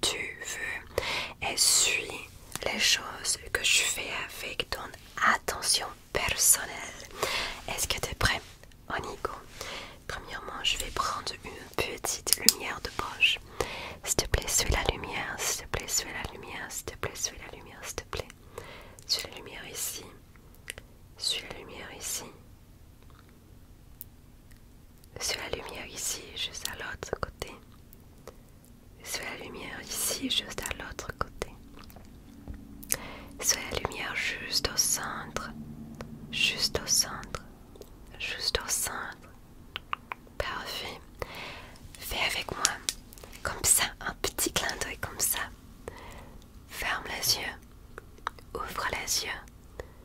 tu veux et suis les choses que je fais avec ton attention personnelle. Est-ce que tu es prêt On y Premièrement, je vais prendre une petite lumière de poche. S'il te plaît, suis la lumière, s'il te plaît, suis la lumière, s'il te plaît, suis la lumière, s'il te plaît. Suis la lumière ici. Suis la lumière ici sur la lumière ici, juste à l'autre côté, sur la lumière ici, juste à l'autre côté, sur la lumière juste au centre, juste au centre, juste au centre. Parfait. Fais avec moi, comme ça, un petit clin d'œil comme ça. Ferme les yeux, ouvre les yeux,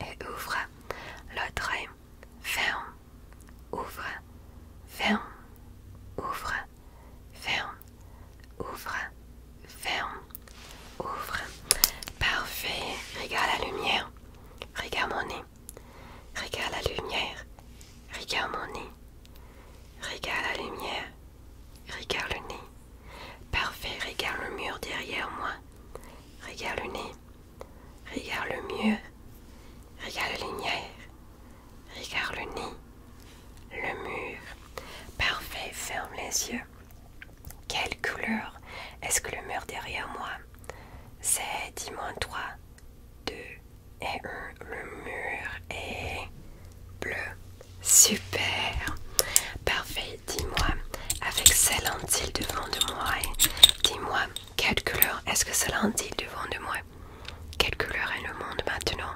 et ouvre. L'autre ferme, ouvre, ferme, ouvre, ferme, ouvre, ferme, ouvre. Parfait. Regarde la lumière. Regarde mon nez. Regarde la lumière. Regarde mon nez. Regarde la lumière. Regarde le nez. Parfait, regarde le mur derrière moi. Regarde le nez. Regarde le mur. Regarde la lumière. Regarde le nez. Le mur. Parfait, ferme les yeux. Quelle couleur est-ce que le mur derrière moi C'est, dis-moi, 3, 2 et 1. Le mur est bleu. Super. Parfait dis-moi, avec ces lentilles devant de moi, dis-moi, quelle couleur est-ce que ces lentilles devant de moi Quelle couleur est le monde maintenant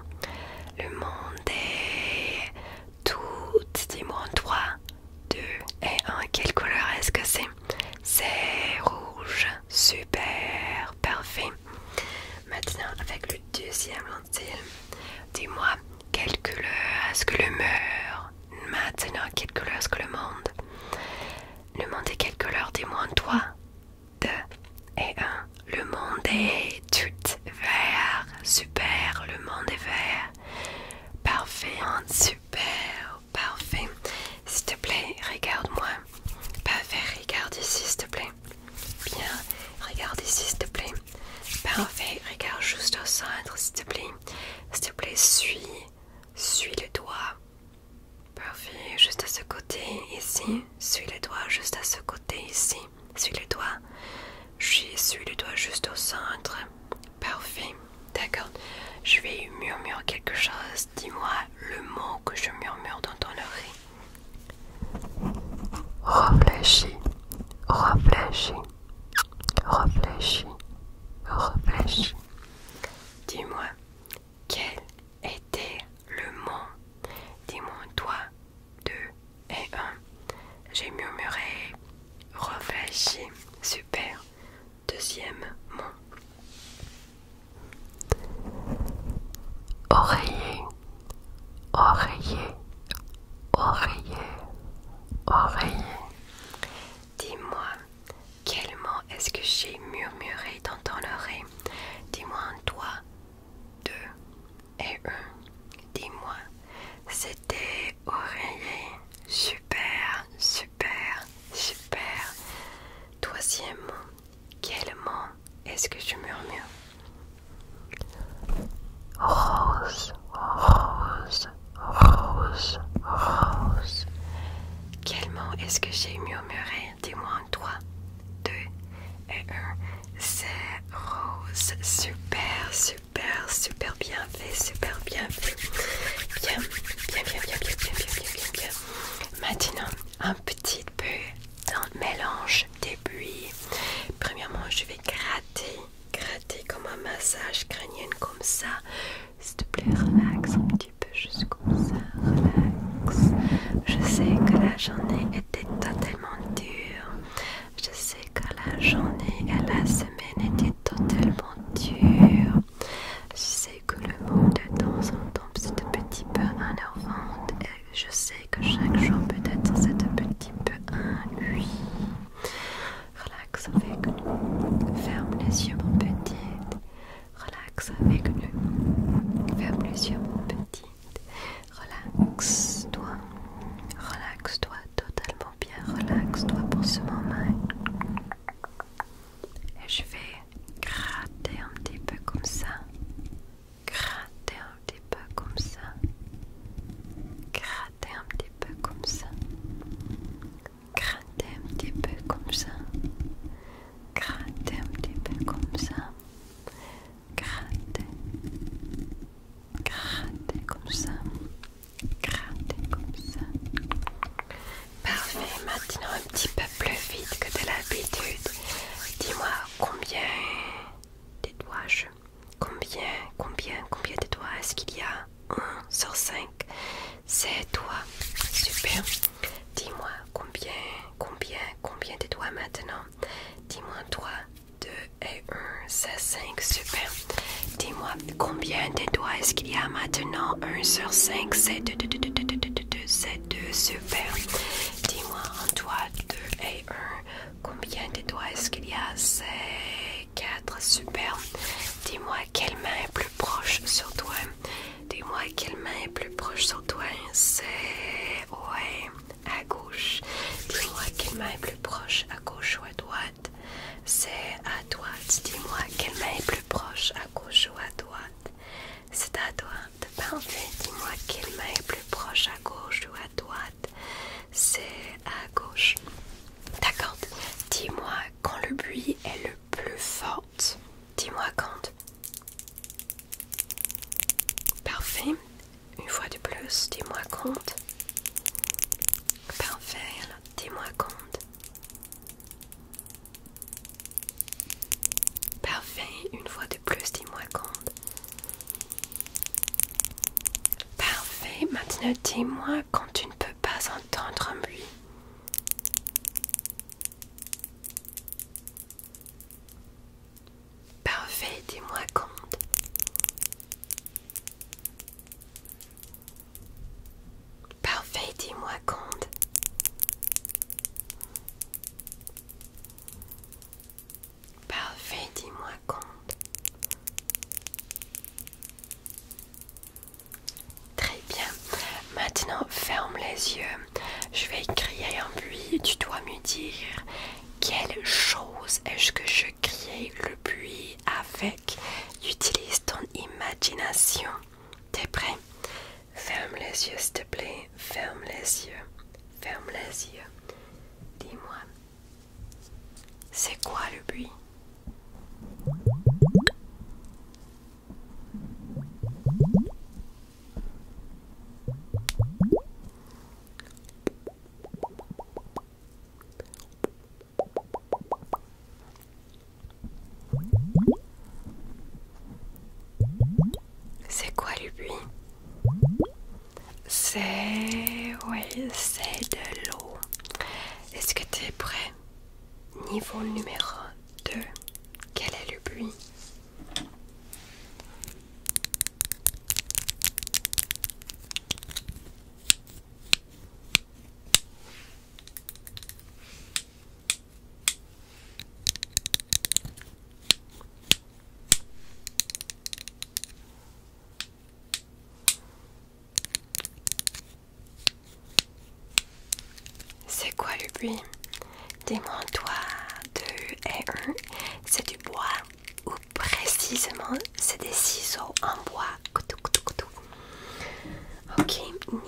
Le monde est tout, dis-moi 3, 2 et 1. Quelle couleur est-ce que c'est C'est rouge, super, parfait. Maintenant, avec le deuxième lentille, dis-moi, quelle couleur est-ce que le mur Maintenant, quelle couleur est-ce que le monde Le monde est quelle couleur Dis-moi en toi. 2 et 1. Le monde est tout vert. Super, le monde est vert. Parfait, hein, super, parfait. S'il te plaît, regarde-moi. Parfait, regarde ici, s'il te plaît. Bien, regarde ici s'il te plaît. Parfait, regarde juste au centre s'il te plaît. S'il te plaît, suis, suis les doigts. Parfait, juste à ce côté ici. Suis les doigts juste à ce côté ici. Suis les doigts. Je suis les doigts juste au centre. Parfait, d'accord. Je vais murmurer quelque chose. Dis-moi le mot que je murmure dans ton oreille. Réfléchis, réfléchis, réfléchis, réfléchis. Dis-moi, quel était le mot Dis-moi toi, deux et un. J'ai murmuré, réfléchis, super. Deuxième mot. Oreiller, Oreiller, oreiller, oreiller. Dis-moi, quel mot est-ce que j'ai murmuré dans ton oreille Dis-moi un toi, deux et un. Dis-moi, c'était oreiller. Super, super, super. Troisième quel mot est-ce que je murmure? Rose, rose, rose, rose. Quel mot est-ce que j'ai murmuré Dis-moi en 3, 2 et 1. C'est rose. Super, super, super bien fait, super bien fait. Bien, bien, bien, bien, bien, bien, bien, bien, bien. bien. Maintenant, un petit peu dans le mélange des buis. Premièrement, je vais gratter, gratter comme un massage crânien comme ça. S'il te plaît, relax un petit peu juste comme ça. Relax. Je sais que la journée était totalement dure. Je sais que la journée et la semaine étaient totalement dure que le monde de temps en temps, petit petit peu un et je sais que chaque jour peut-être c'est un petit peu un Relax avec nous. Ferme les yeux mon petit. Relax avec nous. Ferme les yeux mon petit. Relax-toi. Relax-toi totalement bien. Relax-toi pour ce moment et je vais gratter un petit peu comme ça, gratter un petit peu comme ça, gratter un petit peu comme ça, gratter un petit peu comme ça, gratter un petit peu comme ça, gratter, gratter comme ça, gratter comme ça. Parfait, maintenant un petit peu plus vite que de l'habitude. Dis-moi combien de doigts Combien, combien, combien de est-ce qu'il y a 1 sur 5. C'est toi. Super. Dis-moi combien, combien, combien de doigts maintenant Dis-moi 3, 2 et 1, c'est 5. Super. Dis-moi combien de doigts est-ce qu'il y a maintenant 1 sur 5, c'est 2, 2. C'est ces deux super. Dis-moi en doigt 2 et 1. Combien de doigts est-ce qu'il y a C'est 4 super. Dis-moi quelle main est plus proche sur toi. Dis-moi quelle main est plus proche sur toi. C'est ouais à gauche. Dis-moi quelle main est plus proche à gauche ou à droite. C'est à droite. Dis-moi quelle main est plus proche à gauche ou à droite. C'est à droite. Parfait. Dis-moi quelle main est plus proche à gauche ou à droite. C'est à gauche. D'accord. Dis-moi quand le bruit est le plus fort. Dis-moi quand. Parfait. Une fois de plus, dis-moi quand. Parfait. Dis-moi quand. Parfait, une fois de plus, dis-moi quand. Parfait, maintenant dis-moi quand tu ne peux pas entendre un bruit. Parfait, dis-moi quand. Parfait, dis-moi, compte. Parfait, dis-moi, compte. Très bien. Maintenant, ferme les yeux. Je vais crier en buis. Tu dois me dire quelle chose est-ce que je crie le puits avec Utilise ton imagination. T'es prêt Ferme les yeux, s'il te plaît. Ferme les yeux. Ferme les yeux. Dis-moi, c'est quoi le bruit c'est quoi le bruit C'est... oui, c'est de l'eau. Est-ce que tu es prêt Niveau numéro 2. Quel est le buis c'est quoi le bruit? Des toi 2 et 1, c'est du bois ou précisément c'est des ciseaux en bois. Ok,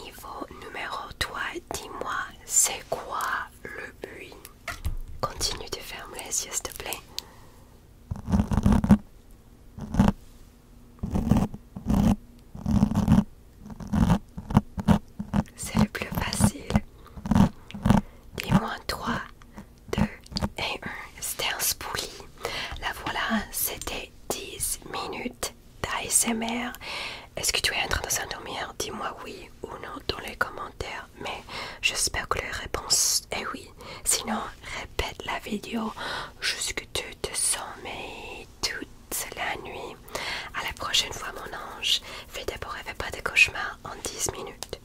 niveau numéro 3, dis-moi c'est quoi le but? Continue de fermer les yeux s'il te plaît. C'est le plus facile. Dis-moi toi, 2 et 1. C'était La voilà, c'était 10 minutes d'ASMR. Est-ce que tu es en train de s'endormir Dis-moi oui ou non dans les commentaires. Mais j'espère que la réponse est oui. Sinon, répète la vidéo jusque tu te sommeilles toute la nuit. À la prochaine fois, mon ange. Fais d'abord rêver pas de cauchemars en 10 minutes.